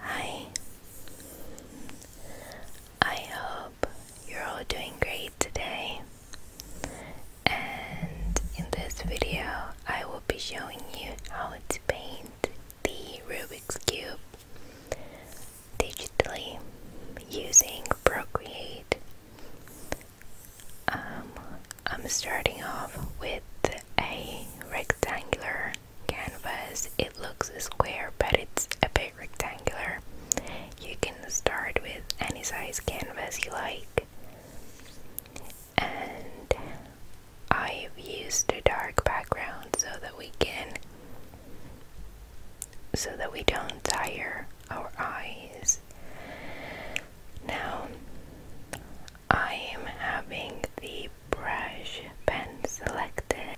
Hi, I hope you're all doing great today. And in this video, I will be showing you how to paint the Rubik's Cube digitally using Procreate. Um, I'm starting off with a rectangular canvas. It looks square, but it's a bit rectangular. You can start with any size canvas you like. And I've used a dark background so that we can so that we don't tire our eyes. Now I am having the brush pen selected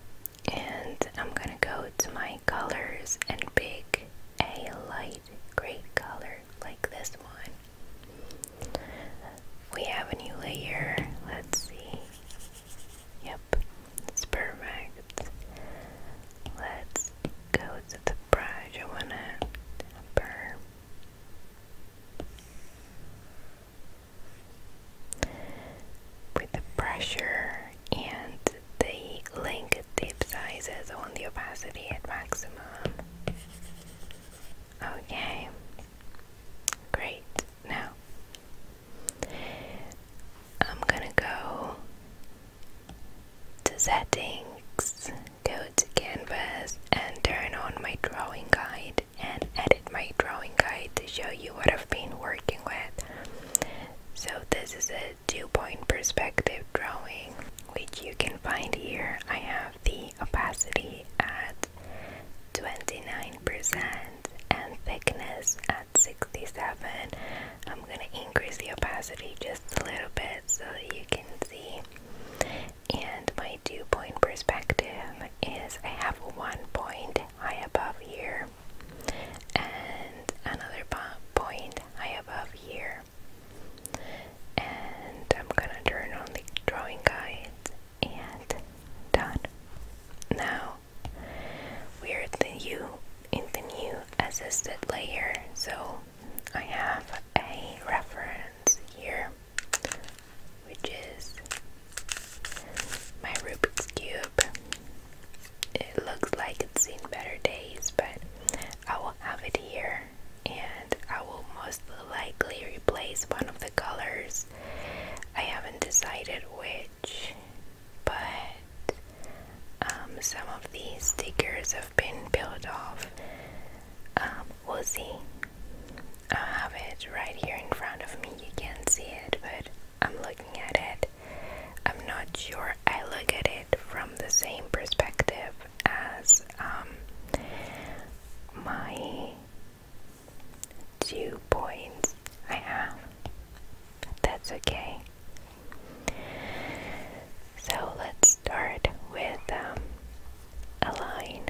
and I'm gonna go to my colors and pick a light gray color like this one. We have a new layer, let's see. Yep, it's perfect. Let's go to the brush. I wanna burn with the pressure and the link tip sizes on the opacity at maximum. Okay, great. Now I'm gonna go to settings, go to canvas, and turn on my drawing guide and edit my drawing guide to show you what I've been working with. So this is a two-point perspective drawing which you can find here. I have the opacity at 29% and thickness at 67. I'm gonna increase the opacity just a little bit so you can see and my dew point perspective is I have one point high above here and another point high above here. And I'm gonna turn on the drawing guide and done. Now we're in the new, in the new assisted layer, so I have a reference here which is my Rubik's Cube. It looks like it's seen better days, but I will have it here and I will most likely replace one of the colors. I haven't decided which, but um, some of these stickers have been peeled off. Um, we'll see. I have it right here in front of me. You can't see it, but I'm looking at it. I'm not sure I look at it from the same perspective as um, my two points I have. That's okay. So let's start with um, a line.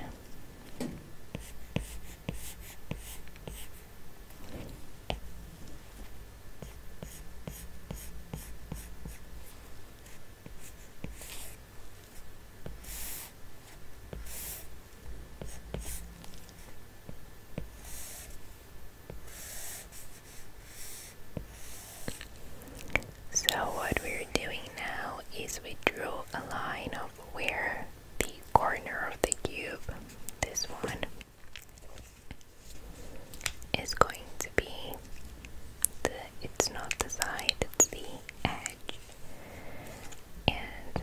So, what we're doing now is we drew a line of where the corner of the cube, this one, is going to be it's not the side, it's the edge. And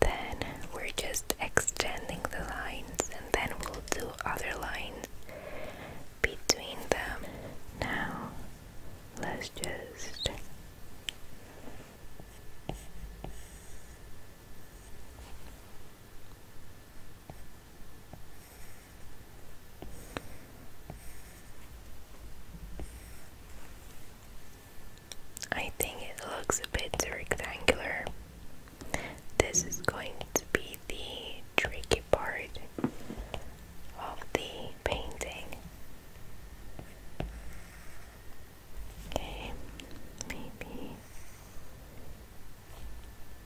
then we're just extending the lines and then we'll do other lines between them. Now, let's just I think it looks a bit rectangular. This is going to be the tricky part of the painting. Okay, maybe.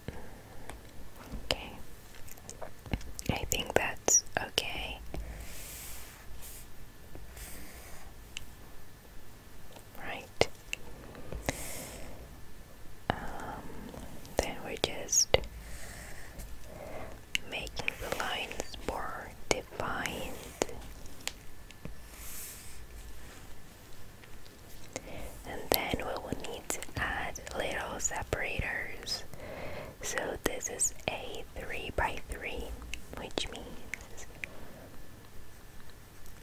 Mm, okay, I think that's okay. Right. Um, then we just making the lines more defined. And then we will need to add little separators. So this is a 3 by 3 which means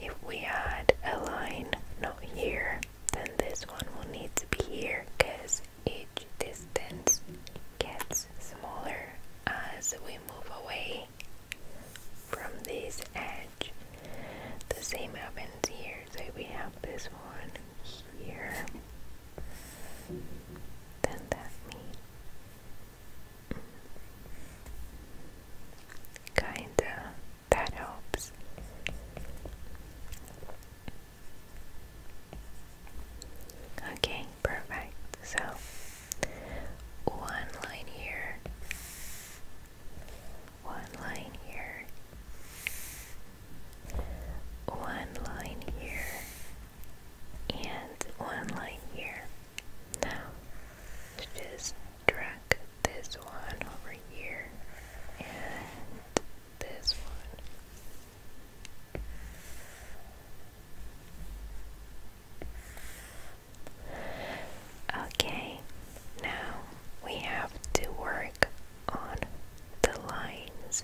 if we add a line not here, then this one will need to be here because each distance gets smaller as we move away from this edge. The same happens here, so we have this one here. Then that me kinda that helps. Okay, perfect. So one line here. One line here. One line here. And one line here. Now, just drag this one over here and this one Okay, now we have to work on the lines.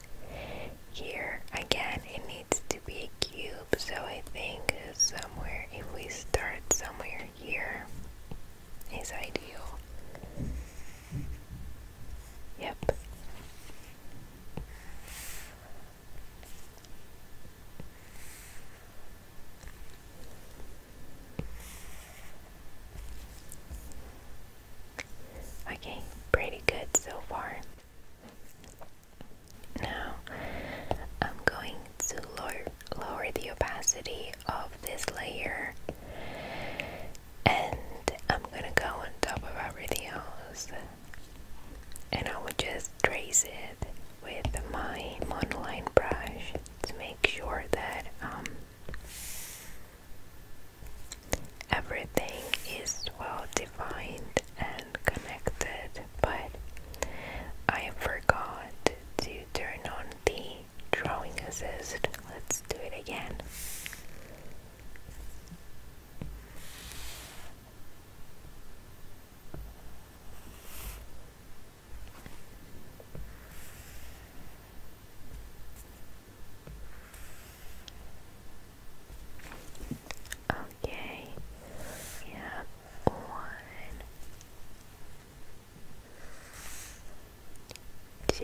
Here again, it needs to be a cube, so I think somewhere, if we start somewhere here, is ideal. Yep. Okay, pretty good so far. Now I'm going to lower, lower the opacity of this layer and I'm gonna go on top of everything else and I would just trace it with my monoline brush to make sure that um, everything is well defined and connected but I forgot to turn on the drawing assist. Let's do it again. Okay, yeah, one, two,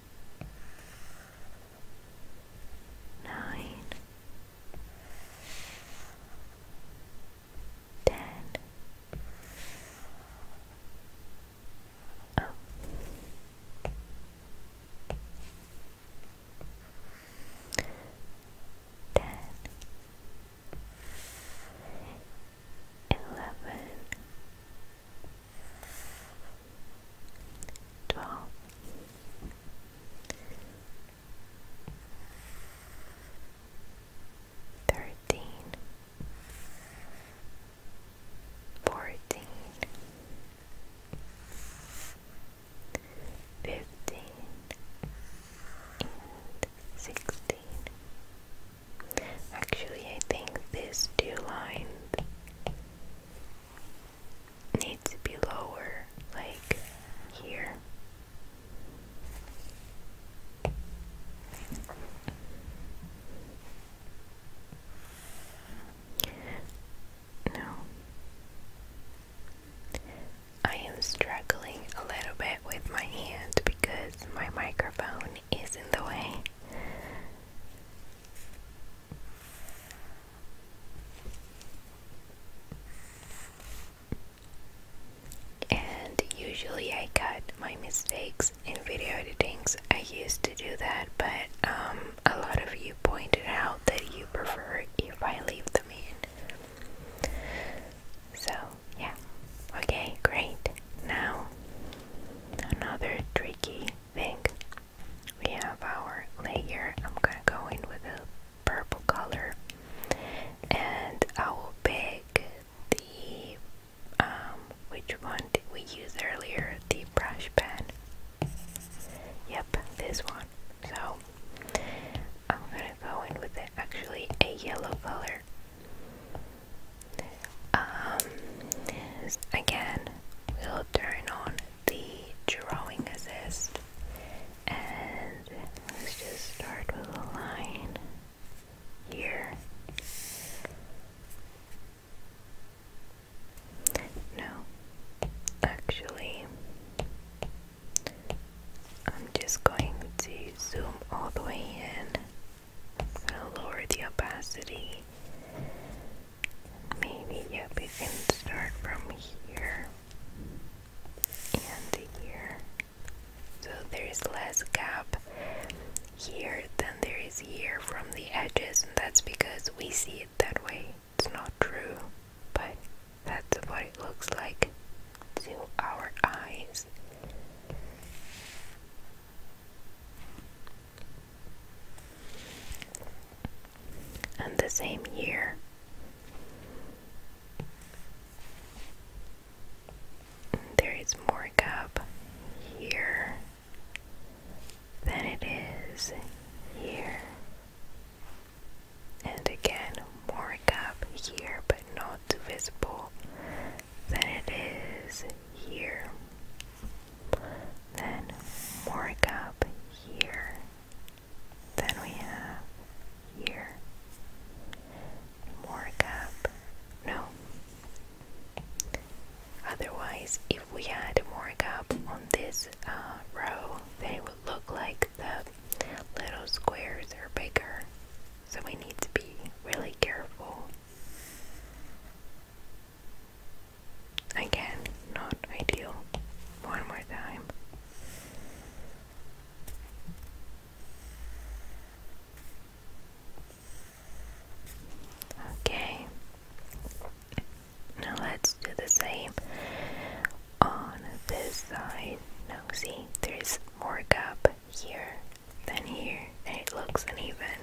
nine, ten. Oh. Ten, eleven, twelve. Thirteen, Actually, I think this two lines Need to be lower, like here. No. I am struggling a little bit with my hand because my microphone is in the way. And usually I cut my mistakes in video editings. I used to do that, but um, a lot of you pointed out that you prefer if I leave them in. So, yeah. Okay, great. Now, another tricky thing we have our layer. I'm gonna go in with a purple color and I will pick the um which one did we use earlier? The brush pen. Yep, this one. So I'm gonna go in with actually a yellow color. Um again we'll turn on the drawing assist and let's just start with a line here. No, actually, I'm just going to zoom all the way in. I'm lower the opacity Maybe, yep, you can start from here and here. So there is less gap here than there is here from the edges, and that's because we see it that way. It's not true, but that's what it looks like to our eyes. And the same year, there is more cup here than it is here. And again, more cup here, but not visible than it is here. Then mark up here. Then we have here. Mark up. No. Otherwise, if we had mark up on this uh, row, they would look like the little squares are bigger. So we need to be really careful. Again, not ideal. One more time. Okay. Now let's do the same on this side. Now see, there's more gap here than here, and it looks uneven.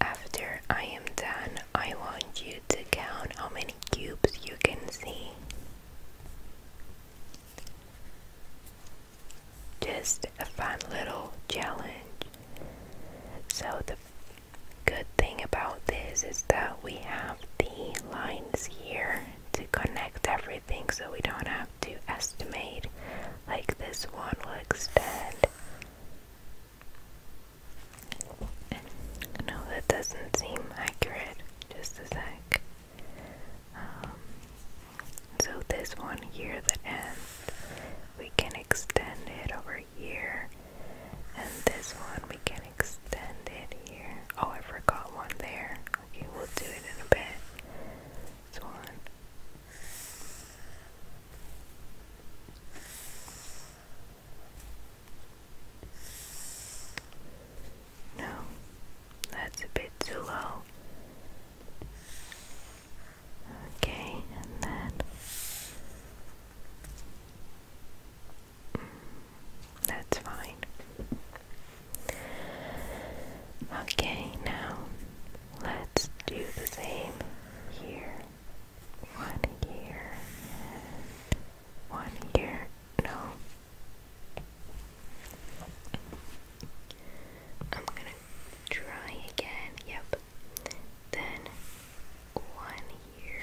After I am done, I want you to count how many cubes you can see. Just a fun little challenge. So the good thing about this is that we have the lines here to connect everything so we don't have to estimate like this one will extend. No, that doesn't seem accurate. Just a sec. Um, so this one here that ends we can extend it over here and this one we can extend it here oh I forgot one there okay we'll do it in a bit this one no, that's a bit too low. Okay, and then mm, that's fine. Okay, now let's do the same here. One here one here. No. I'm gonna try again, yep. Then one here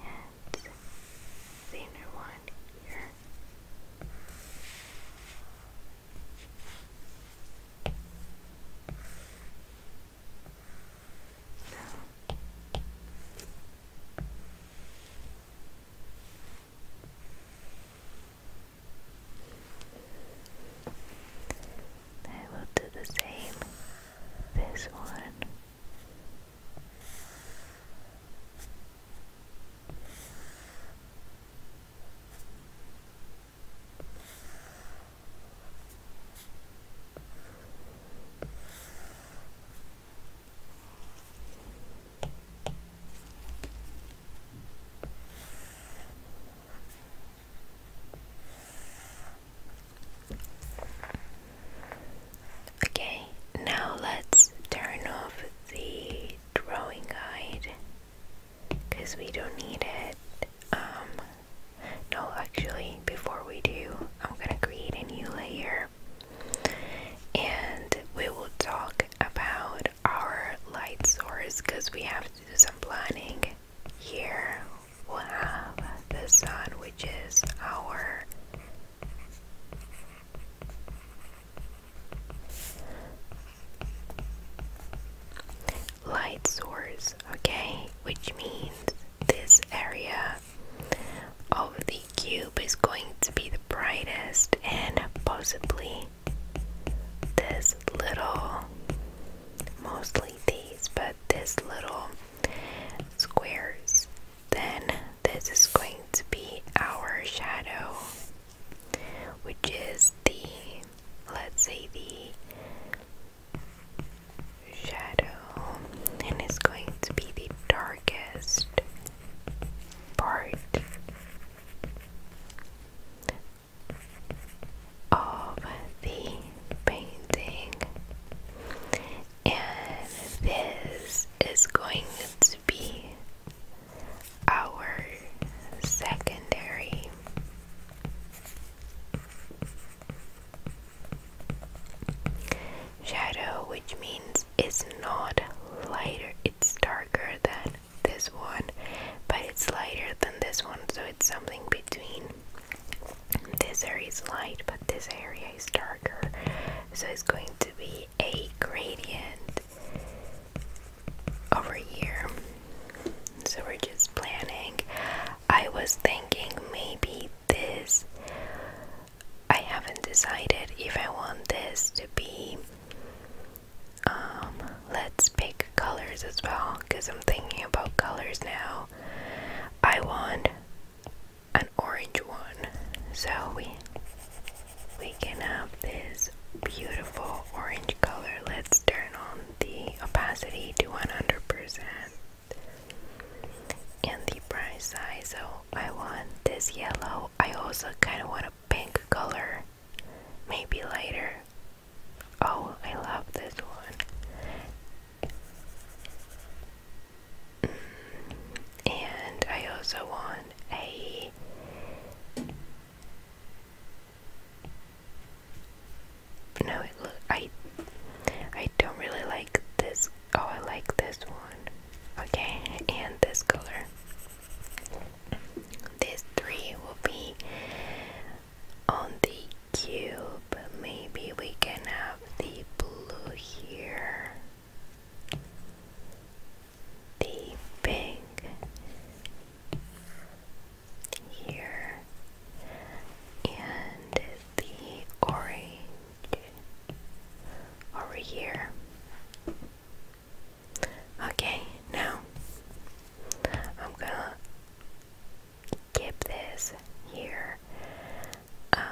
and the one here. I will do the same this one Okay, now let's turn off the drawing guide because we don't need it. Um, no, actually, before we do, I'm gonna create a new layer and we will talk about our light source because we have to do some planning here we have the sun, which is our light source, okay? Which means this area of the cube is going to be the brightest, and possibly this little, mostly these, but this little squares, then this is going to be our shadow, which is the, let's say, the shadow, and it's going to be the darkest part of the painting, and this is going to be our secondary. Shadow, which means it's not lighter, it's darker than this one, but it's lighter than this one, so it's something between. This area is light, but this area is darker, so it's going to be a gradient over here. So we're just planning. I was thinking maybe this. I haven't decided if I want this to be. Um, let's pick colors as well because I'm thinking about colors now. I want an orange one so we we can have this beautiful orange color let's turn on the opacity to 100% and the bright side so I want this yellow I also kind of want a pink color maybe lighter. Oh, I love this one. Mm, and I also want a No, it look I I don't really like this. Oh, I like this one. Okay, and this color. This three will be on the cube. Maybe we can have the blue here, the pink here, and the orange over here. Okay, now I'm gonna keep this here. Um,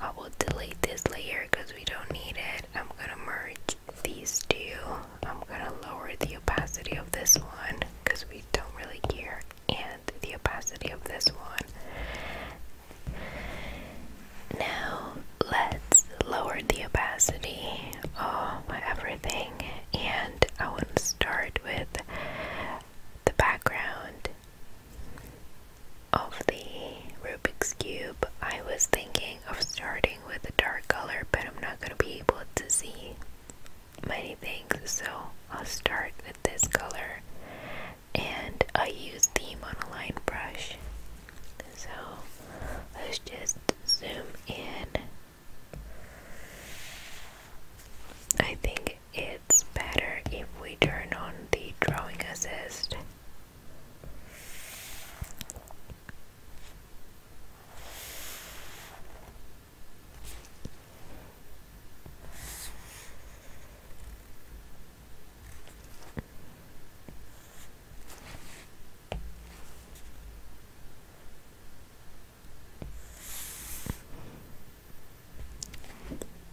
I will delete this layer because we don't need it. I'm gonna merge these two. I'm gonna lower the opacity of this one because we don't really care, and the opacity of this one. Now let's lower the opacity of everything, and I want to start with the background of the Rubik's Cube, I was thinking of starting with a dark color, but I'm not going to be able to see many things, so I'll start with this color. And I use the monoline brush. So let's just zoom in. I think it's better if we turn on the drawing assist.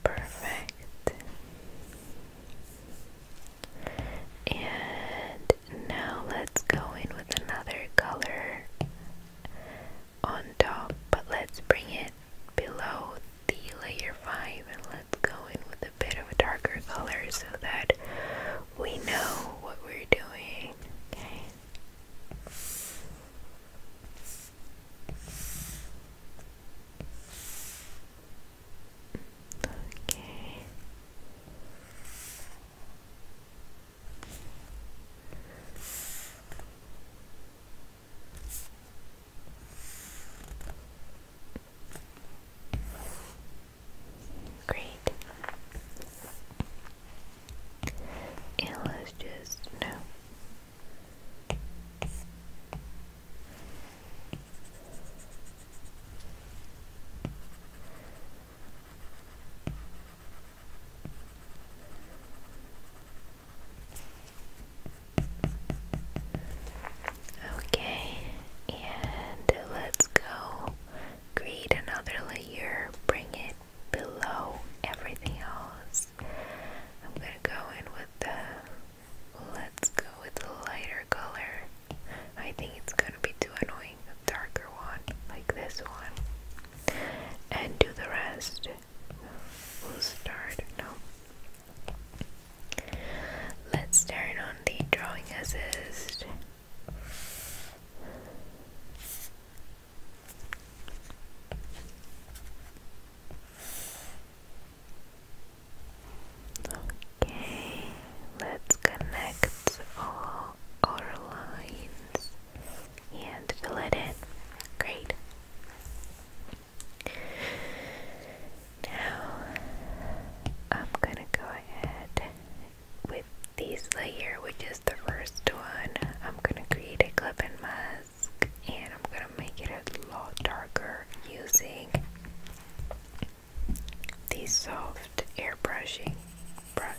Perfect. And now let's go in with another color on top, but let's bring it below the layer 5 and let's go in with a bit of a darker color so that we know what we're doing. Okay. Okay. Great. And let's just no. Okay, and let's go create another layer, bring it below everything else. I'm gonna go in with the, let's go with the lighter color. I think it's gonna be too annoying, a darker one, like this one. And do the rest. We'll start, no. Let's turn on the drawing assist. Okay, let's connect all our lines and fill it in. Great. Now I'm gonna go ahead with this layer, which is the first one. I'm gonna create a clip and mask and I'm gonna make it a lot darker using the soft airbrushing brush.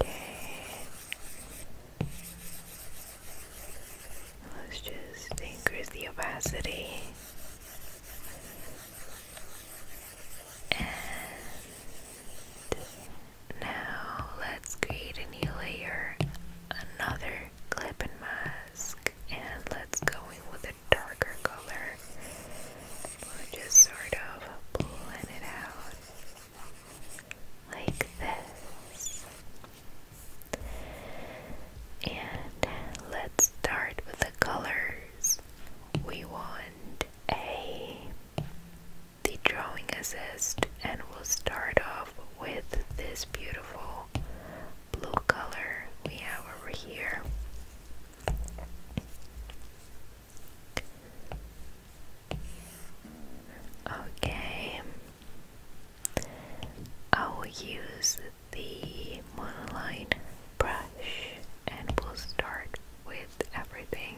Okay. Let's just increase the opacity now let's create a new layer, another clip and mask, and let's go in with a darker color. just sort of blend it out like this. And let's start with the colors. We want a the drawing assist and we'll start off with this beautiful blue color we have over here okay I will use the monoline brush and we'll start with everything.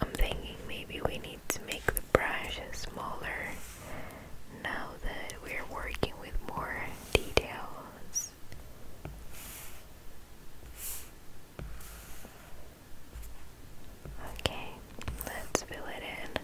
I'm thinking maybe we need to make the brush smaller now that we're working with more details. Okay, let's fill it in.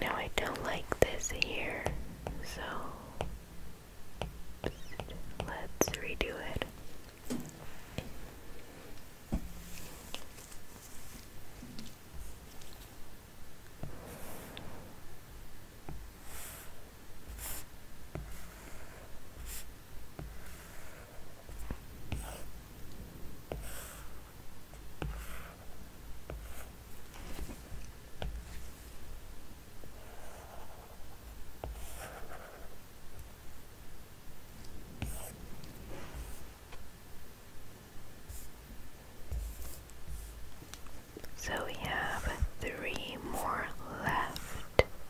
No, I don't like this here, so let's redo it. So we have three more left.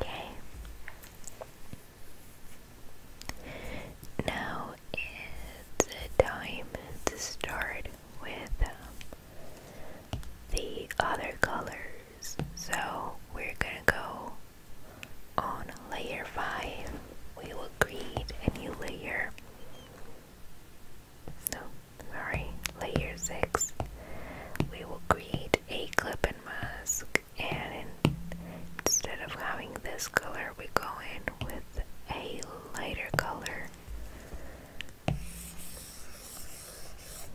Okay. Now is the time to start with um, the other colors. So we're gonna go on layer 5. We will create a new layer. No, sorry, layer 6. We will create a clip and mask, and instead of having this color, we go in with a lighter color.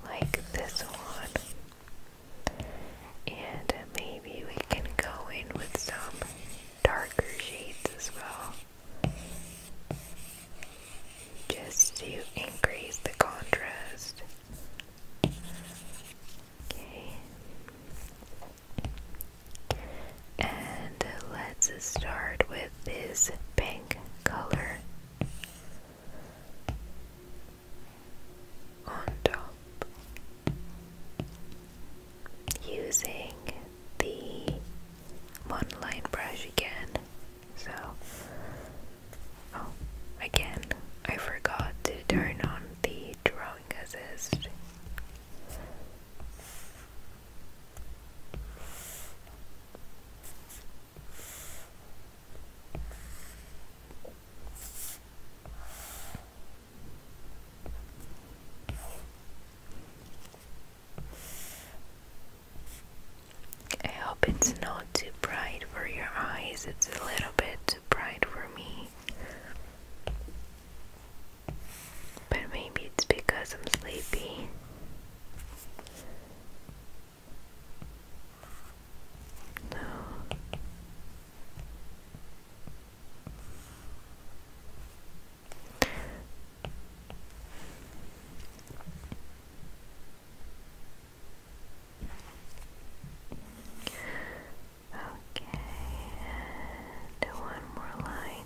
Like this one. And maybe we can go in with some darker shades as well. Just to increase the contrast. Okay. And let's start with this pink color on top using the one-line brush again. So, oh, again, I forgot to turn on the drawing assist. I hope it's not too bright for your eyes, it's a little bit too bright for me. But maybe it's because I'm sleepy. No. Okay, and one more line.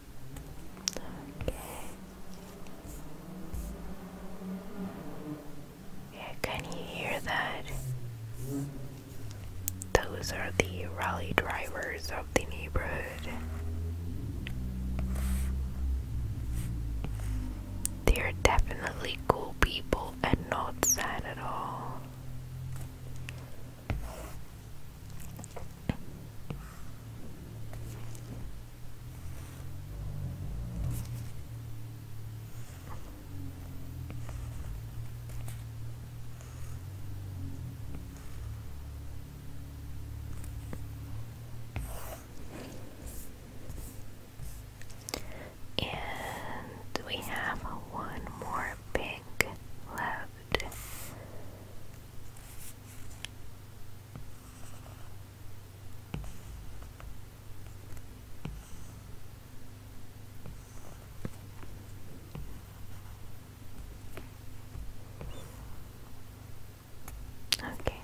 can you hear that? Those are the rally drivers of the neighborhood. They are definitely cool people and not sad at all. And we have one more pig left. Okay.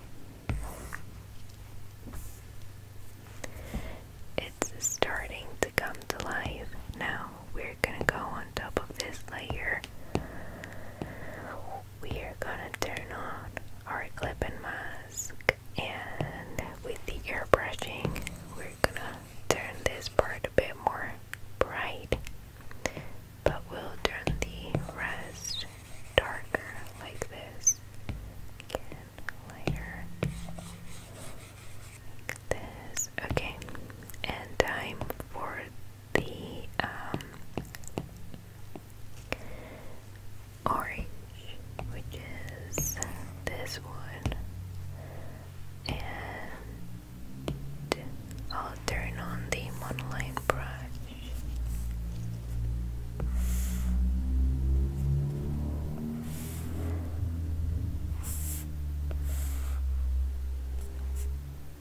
It's starting to come to life. Now we're we're gonna go on top of this layer. We are gonna turn on our clipping mask, and with the airbrushing, we're gonna turn this part a bit more bright, but we'll turn the rest darker like this. Again, lighter. Like this. Okay, and time for the um, orange, which is this one, and I'll turn on the monoline brush.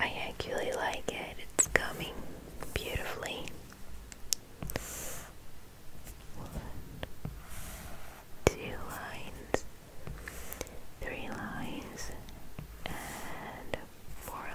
I actually like it, it's coming beautifully one, two lines, three lines, and four lines.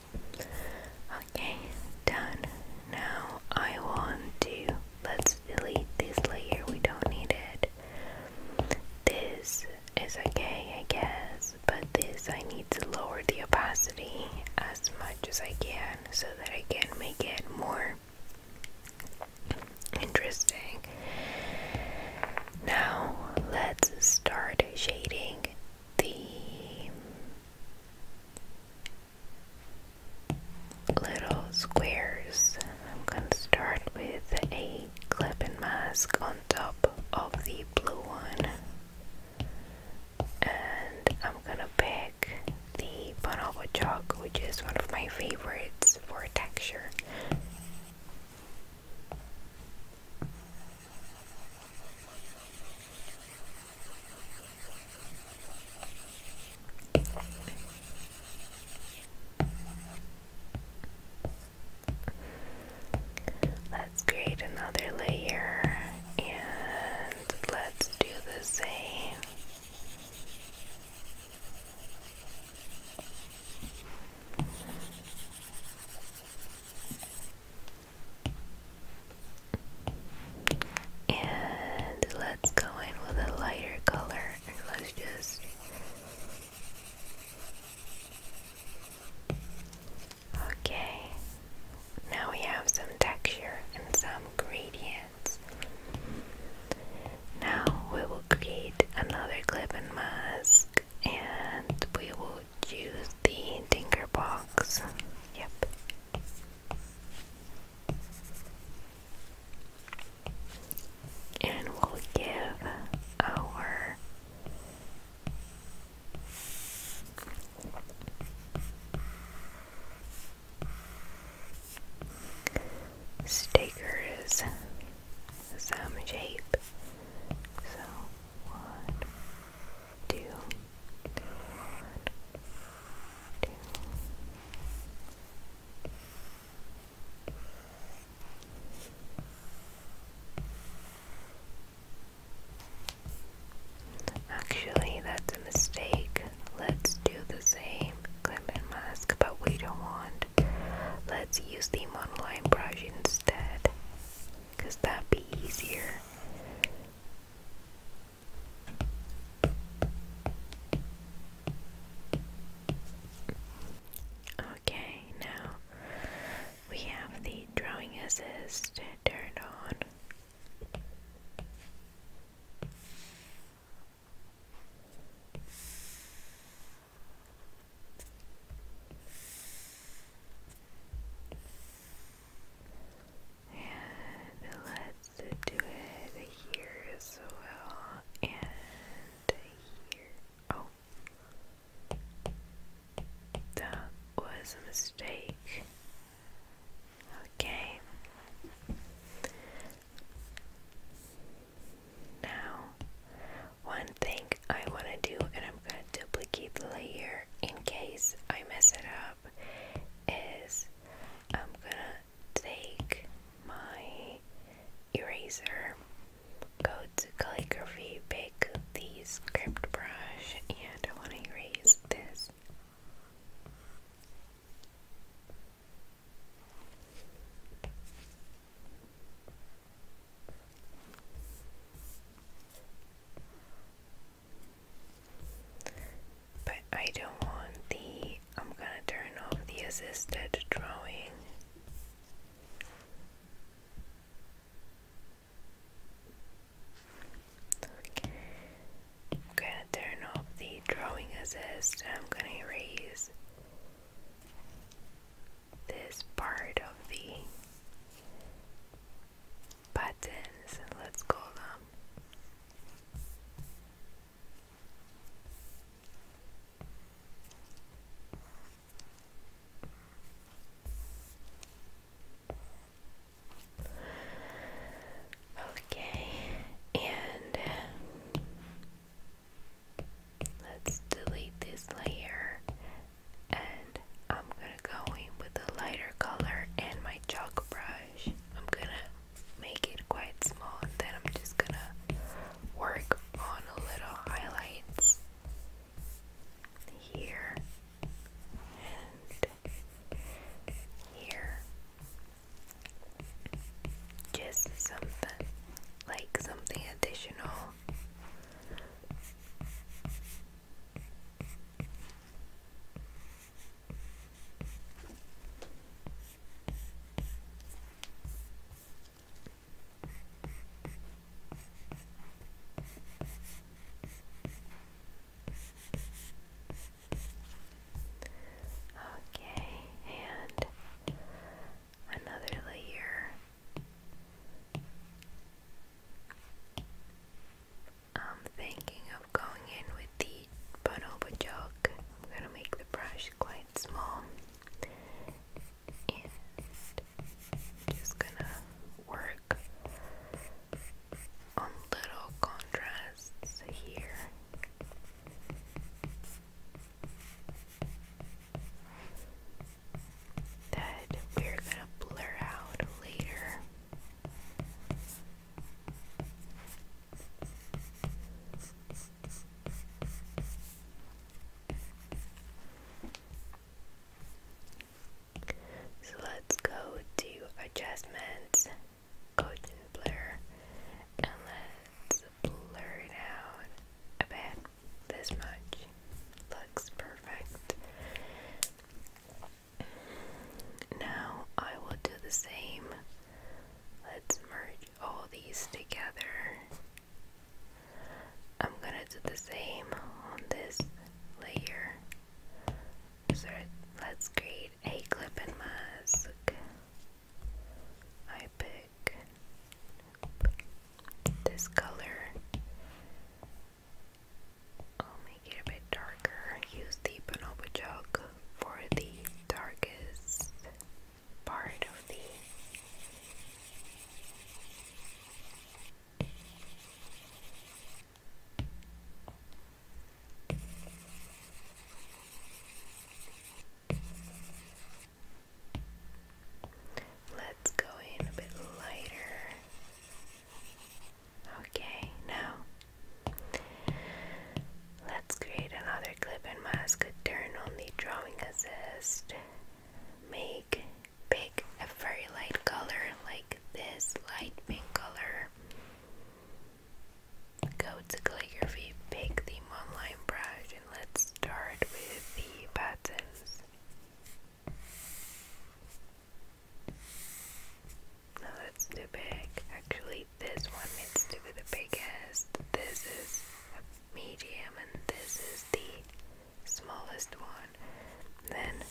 Okay, done. Now I want to let's delete this layer, we don't need it. This is okay, I guess, but this I need to lower the opacity as much as I can so that I can make it more interesting. Now let's start shading the little squares. I'm going to start with a clip mask on top of the blue one. And I'm going to pick the bonobo chalk, which is one of my favorites for texture. Let's create another layer and let's do the same. And let's go in with a lighter color let's just Okay. Now we have some texture and some gradients. Now we will create another clip and mask and we will choose the tinker box. Yep. And we'll give our stickers some shape. So, one, two. Actually, that's a mistake. Let's do the same clip and mask, but we don't want. Let's use the monoline brush instead, because that'd be easier. Okay, now we have the drawing assist turned on. And let's do it here as well. And here. Oh. That was a mistake. Okay. Now, one thing I want to do, and I'm going to duplicate the layer in case I mess it up is I'm gonna take my eraser, go to calligraphy, pick the script brush, and I want to erase this. But I don't want the. I'm gonna turn off the assisted drawing. Okay. I'm gonna turn off the drawing assist I'm gonna erase this part of the buttons. Let's call them Okay, and uh, let's delete this layer and I'm gonna go in with a lighter color and my chalk brush. I'm gonna make it quite small. Then I'm just gonna work on a little highlights here and here. Just something like something additional. Okay, and another layer I'm thinking of going in with the Bonobo chalk. I'm gonna make the brush quite small just gonna work on little contrasts here. That we're gonna blur out later. So let's go to adjustments, go blur, and let's blur it out a bit. This much looks perfect. Now I will do the same Let's merge all these together. I'm gonna do the same on this layer. So let's create a clip mask. I pick this color. I'll make it a bit darker. Use the Bonobo chalk for the darkest part of the Let's go in a bit lighter. Okay, now Let's create another clip and mask, turn on the drawing assist, make, pick a very light color like this light pink color, go to calligraphy, pick the monoline brush and let's start with the buttons. No, that's too big. Actually, this one needs to be the biggest. This is medium, and this is the smallest one. Then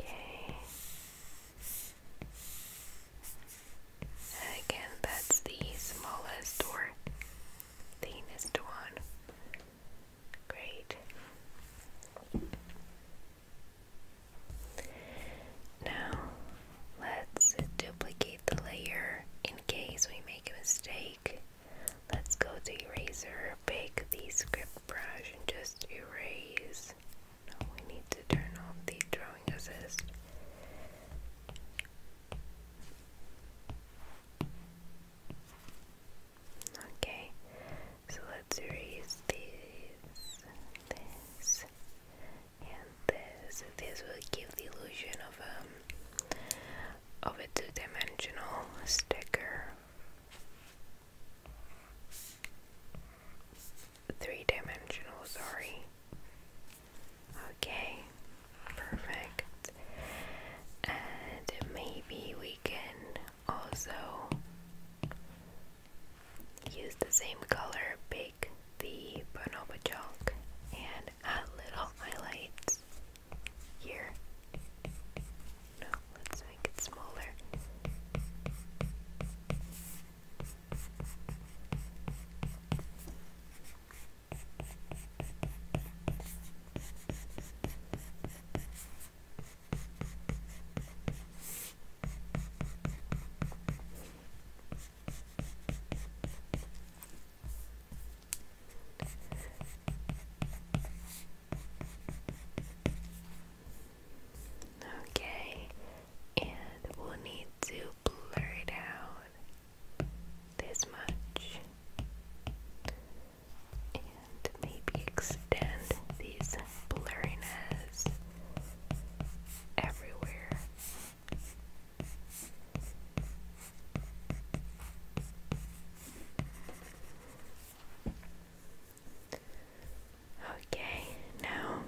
Okay. again, that's the smallest or thinnest one. Great. Now let's duplicate the layer in case we make a mistake. Let's go to eraser, pick the script brush and just erase. Now we need to turn off the drawing assist. Okay, so let's raise this, this, and this. This will give the illusion of a um, of a two-dimensional sticker. Three-dimensional, sorry. Okay, perfect. And maybe we can also use the same color, bake the bonobo chalk, and add little highlights here. No, let's make it smaller. Okay, and we'll need to blur it out this much maybe extend these blurriness everywhere. Okay, now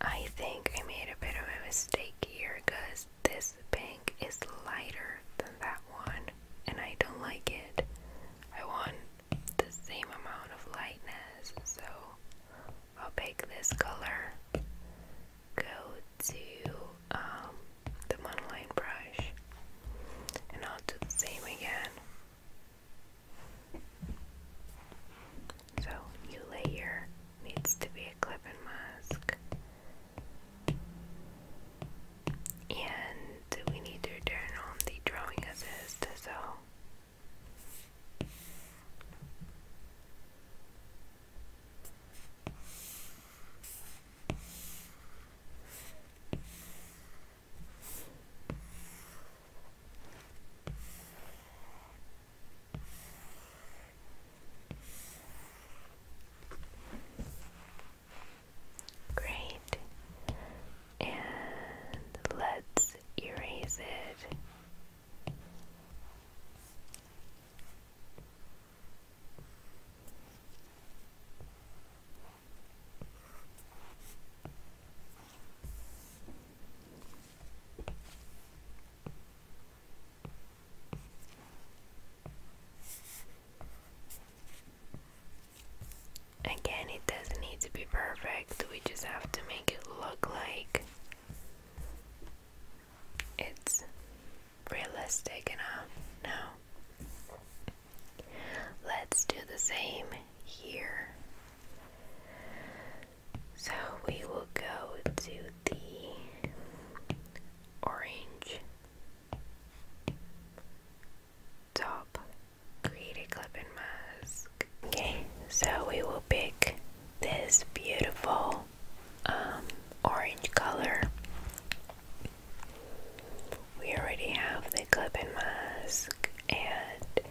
I think I made a bit of a mistake here because this pink is lighter than that one and I don't like it. I want the same amount of lightness, so I'll pick this color. Go to um, the monoline brush and I'll do the same again. So, new layer needs to be a clip and mask. And we need to turn on the drawing assist, so Great. And let's erase it. Again, it doesn't need to be perfect, we just have to make it look like it's realistic enough. Now, let's do the same here. So, we will go to the orange Top. Create a clip and mask. Okay, so we will pick this beautiful um, orange color. We already have the clip and mask, and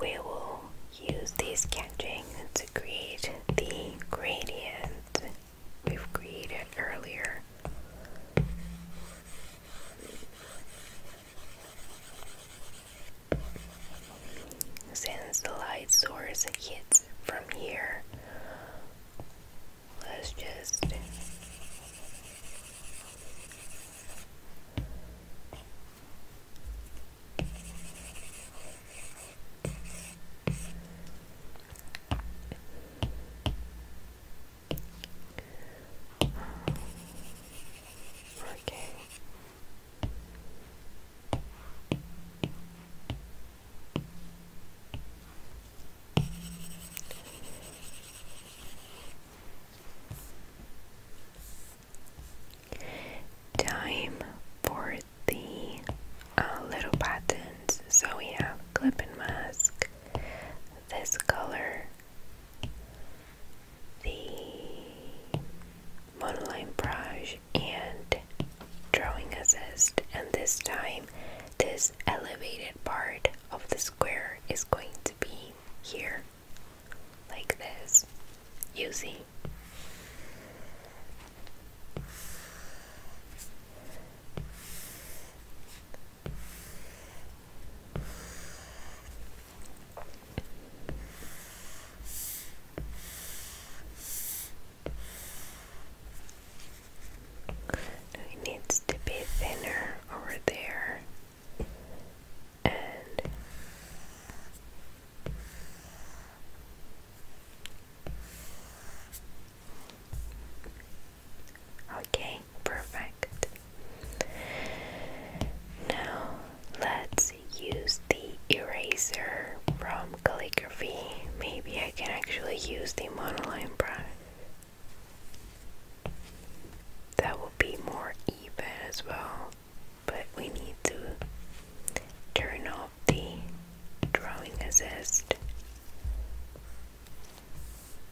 we will use the sketching to create the gradient we've created earlier. Since the light source hits from here, let's just Okay. Time for the uh, little buttons. So we have clip and mask, this color, the monoline brush and drawing assist and this time this elevated part of the square is going to be here like this you see it needs to be thinner over there Okay, perfect. Now let's use the eraser from calligraphy. Maybe I can actually use the monoline brush. That will be more even as well, but we need to turn off the drawing assist.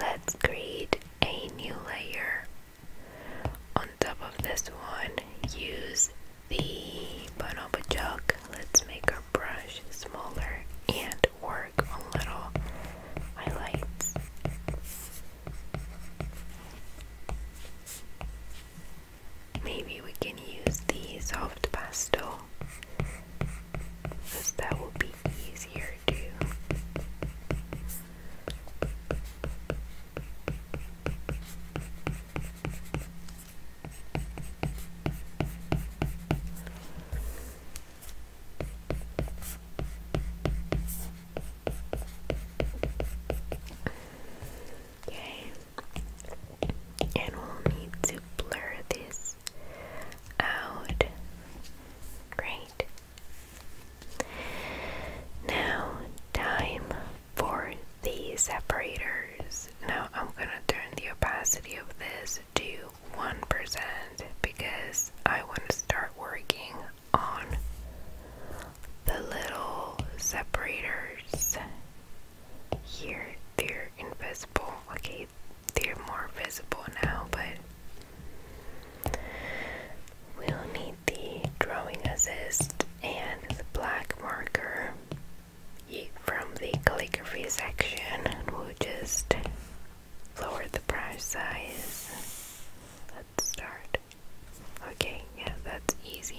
let's create a new layer. On top of this one, use the bonobo chalk. Let's make our brush smaller and work a little highlights. Maybe we can use the soft pastel because that will be easier to Okay, and we'll need to blur this out. Great. Now, time for the separators. Now, I'm gonna turn the opacity of this to 1% because I want to start working on the little separators here. They're invisible. Okay, they are more visible now, but we'll need the drawing assist and the black marker from the calligraphy section and we'll just lower the brush size. Let's start. Okay, yeah, that's easy.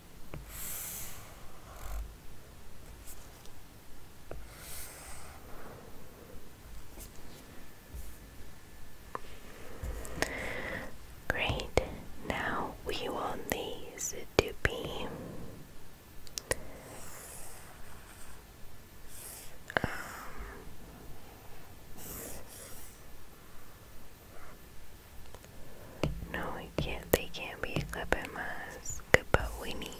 Great, now we want these to be no, we can't. They can't be a clipping mask, but we need.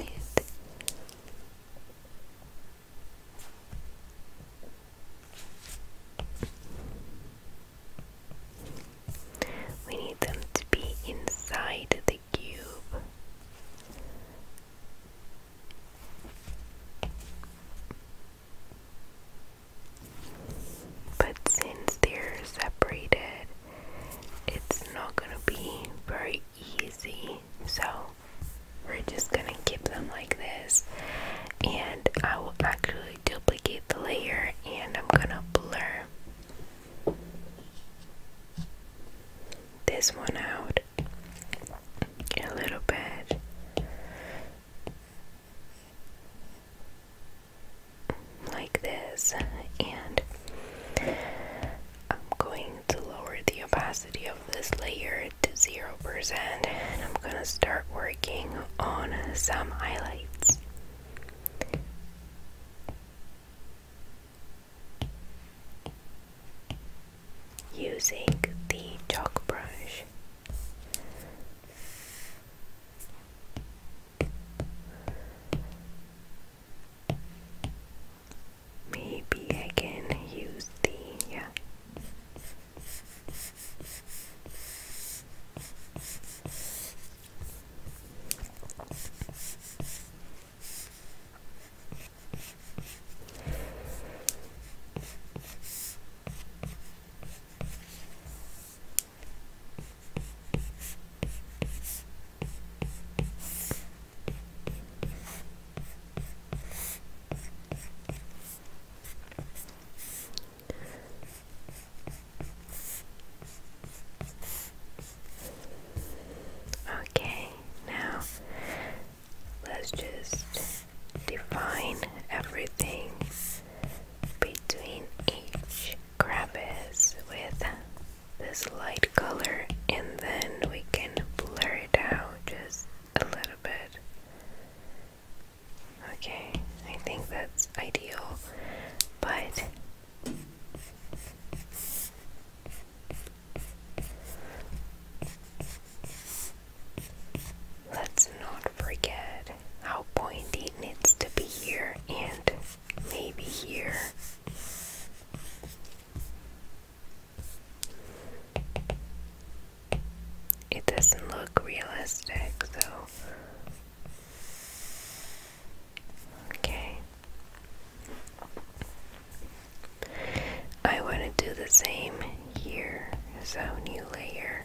We need them to be inside the cube. But since they're separated, it's not gonna be very easy. So we're just gonna keep them like this, and I will actually duplicate the layer and I'm gonna blur this one out a little bit like this, and I'm going to lower the opacity of this layer to 0%, and I'm gonna start working on some highlights. Using the chalk brush. Maybe I can use the Okay, now let's just define everything between each Krampus with this light color and then we can blur it out just a little bit. Okay, I think that's ideal, but let's not forget how pointy needs to be here and maybe here. It doesn't look realistic, so. Okay. I want to do the same here, so new layer.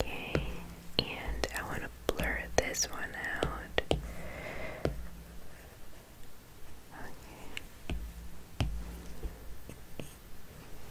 Okay, and I want to blur this one out. Okay.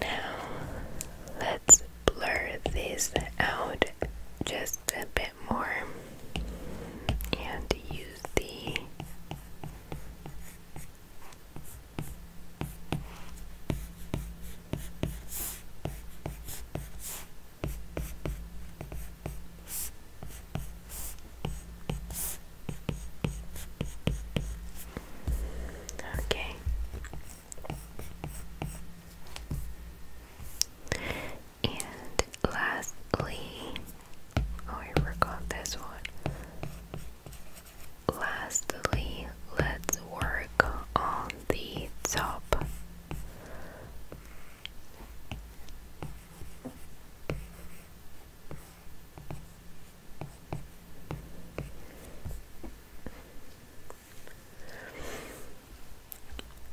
Now let's blur this out just a bit more and use the Okay. And lastly, oh, I forgot this one. Lastly, let's work on the top.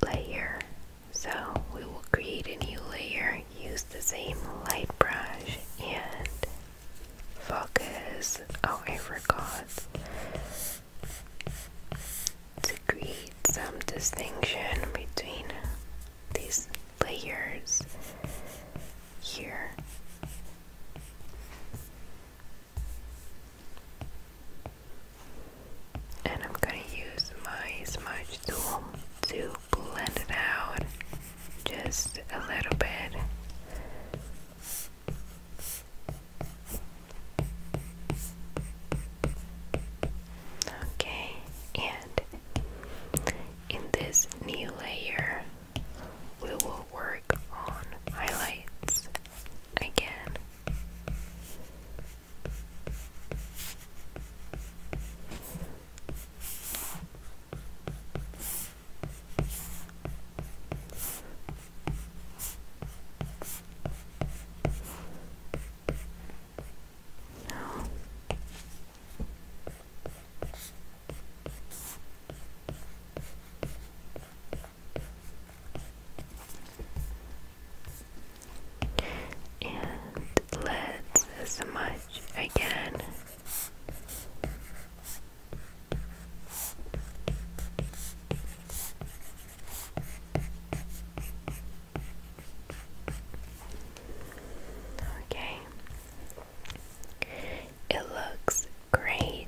Layer. So we will create a new layer, use the same light brush and focus. Oh, I forgot to create some distinction between these layers here. And I'm going to use my smudge tool to blend it out just a little bit. Okay, and in this new layer, we will work on highlights again and let's smudge again. Okay. It looks great,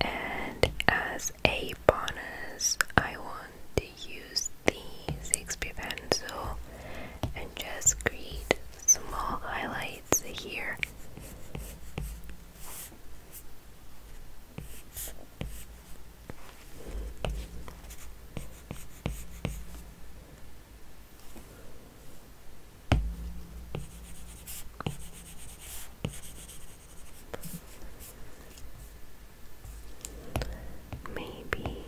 and as a bonus, I want to use the 6p pencil and just create small highlights here. Maybe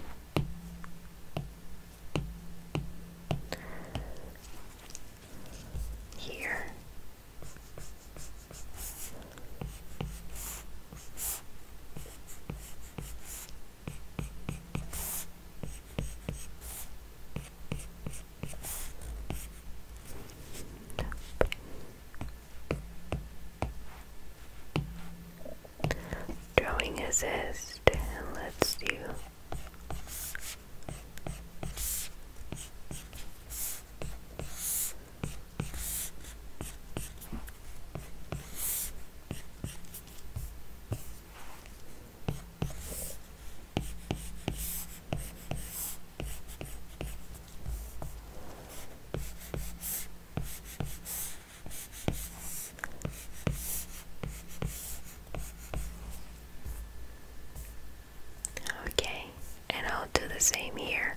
here. Drawing assist, let's do Okay, and I'll do the same here.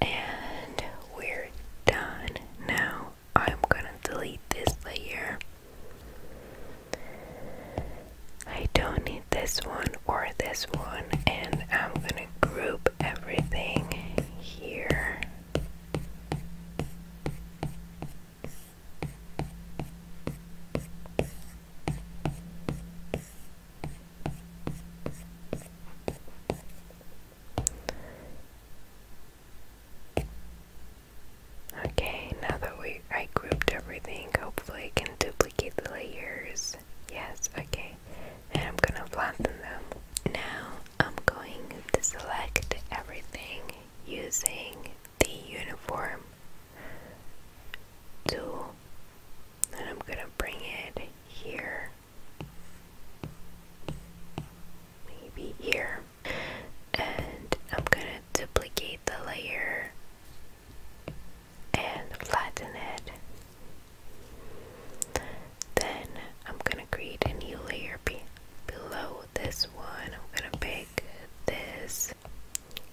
and we're done. Now I'm gonna delete this layer. I don't need this one or this one, and I'm gonna group everything here. Okay, now that we I grouped everything, hopefully I can duplicate the layers. Yes, okay. And I'm gonna flatten them. Now I'm going to select everything using the uniform tool. And I'm gonna bring it here maybe here and I'm gonna duplicate the layer and flatten it then I'm gonna create a new layer below this one I'm gonna pick this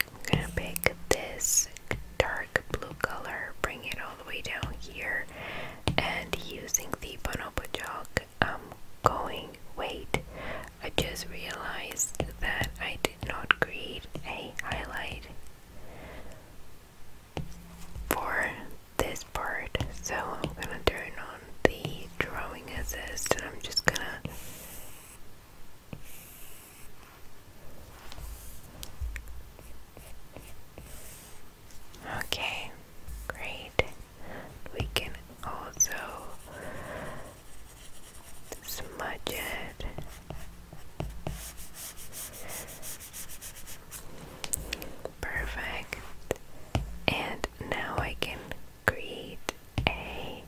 I'm gonna pick this dark blue color bring it way down here and using the bonobo chalk I'm um, going wait I just realized that I did not create a highlight for this part so I'm gonna turn on the drawing assist and I'm just gonna Okay, great. We can also smudge it. Perfect. And now I can create a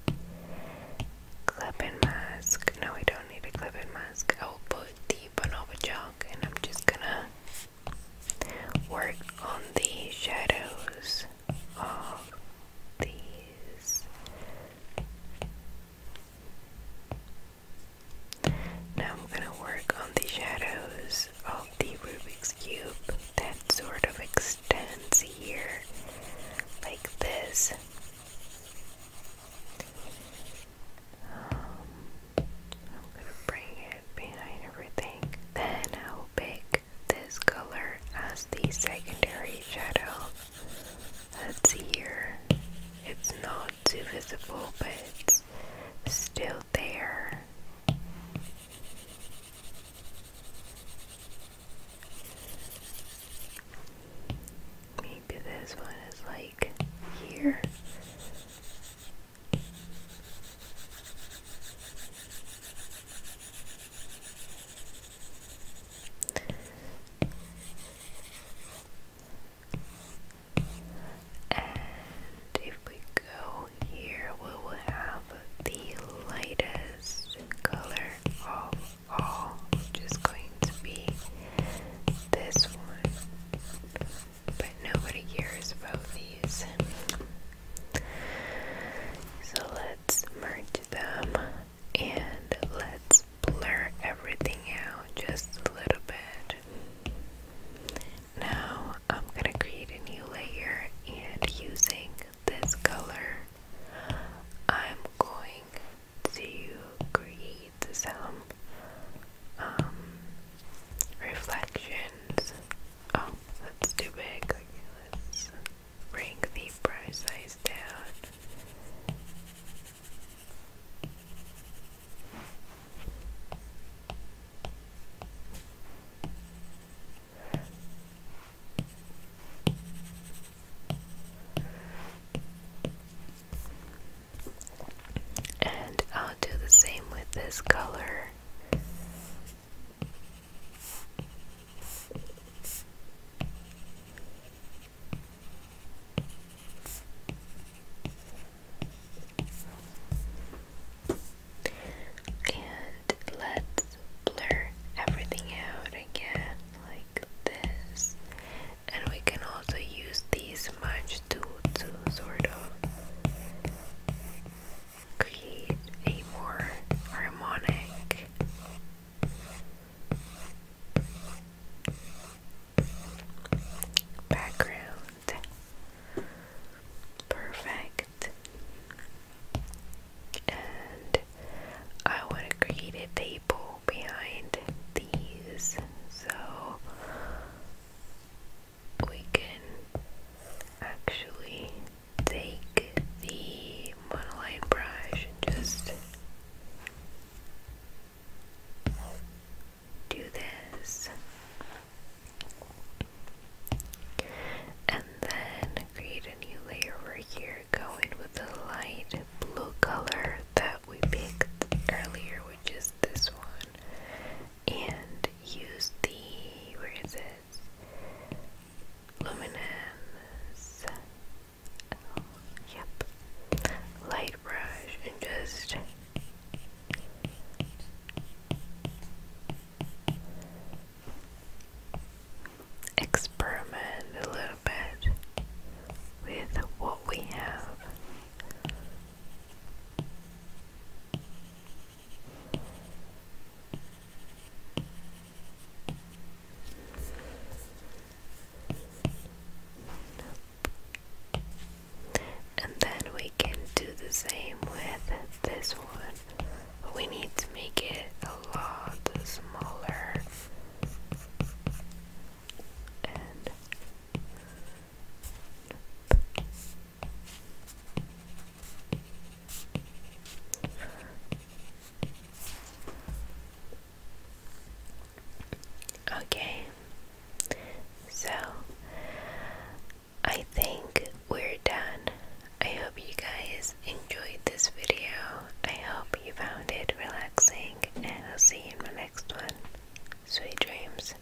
clip-in mask. No, I don't need a clip-in mask. I will put the bonobo chalk and I'm just gonna work on the shadows of these. Now I'm going to work on the shadows of the Rubik's Cube that sort of extends here like this. Um, I'm gonna bring it behind everything. Then I'll pick this color as the secondary shadow. That's here. It's not too visible, but it's still there. Maybe this one is like here. And if we go here, we will have the lightest color of all, which going to be this one but nobody cares about these. So let's merge them and let's blur everything out just a little bit. Now I'm going to create a new layer and using this color I'm going to create some um, reflections. Oh, that's too big. let's bring the brush size down. And I'll do the same with this color here. And let's blur everything out again, like this. And we can also use these smudge tool to sort of create a more harmonic background. Perfect. And I want to create a table behind these. So we can actually take the monoline brush and just do this and then create a new layer over here going with the light blue color that we picked earlier which is this one and use the where is it? Luminance. yep. Light brush and just experiment a little bit with what we have. And then we can do the same with this one. we need to make it a lot smaller. Okay, so I think we're done. I hope you guys enjoyed this video. I hope you found it relaxing, and I'll see you in my next one. Sweet dreams.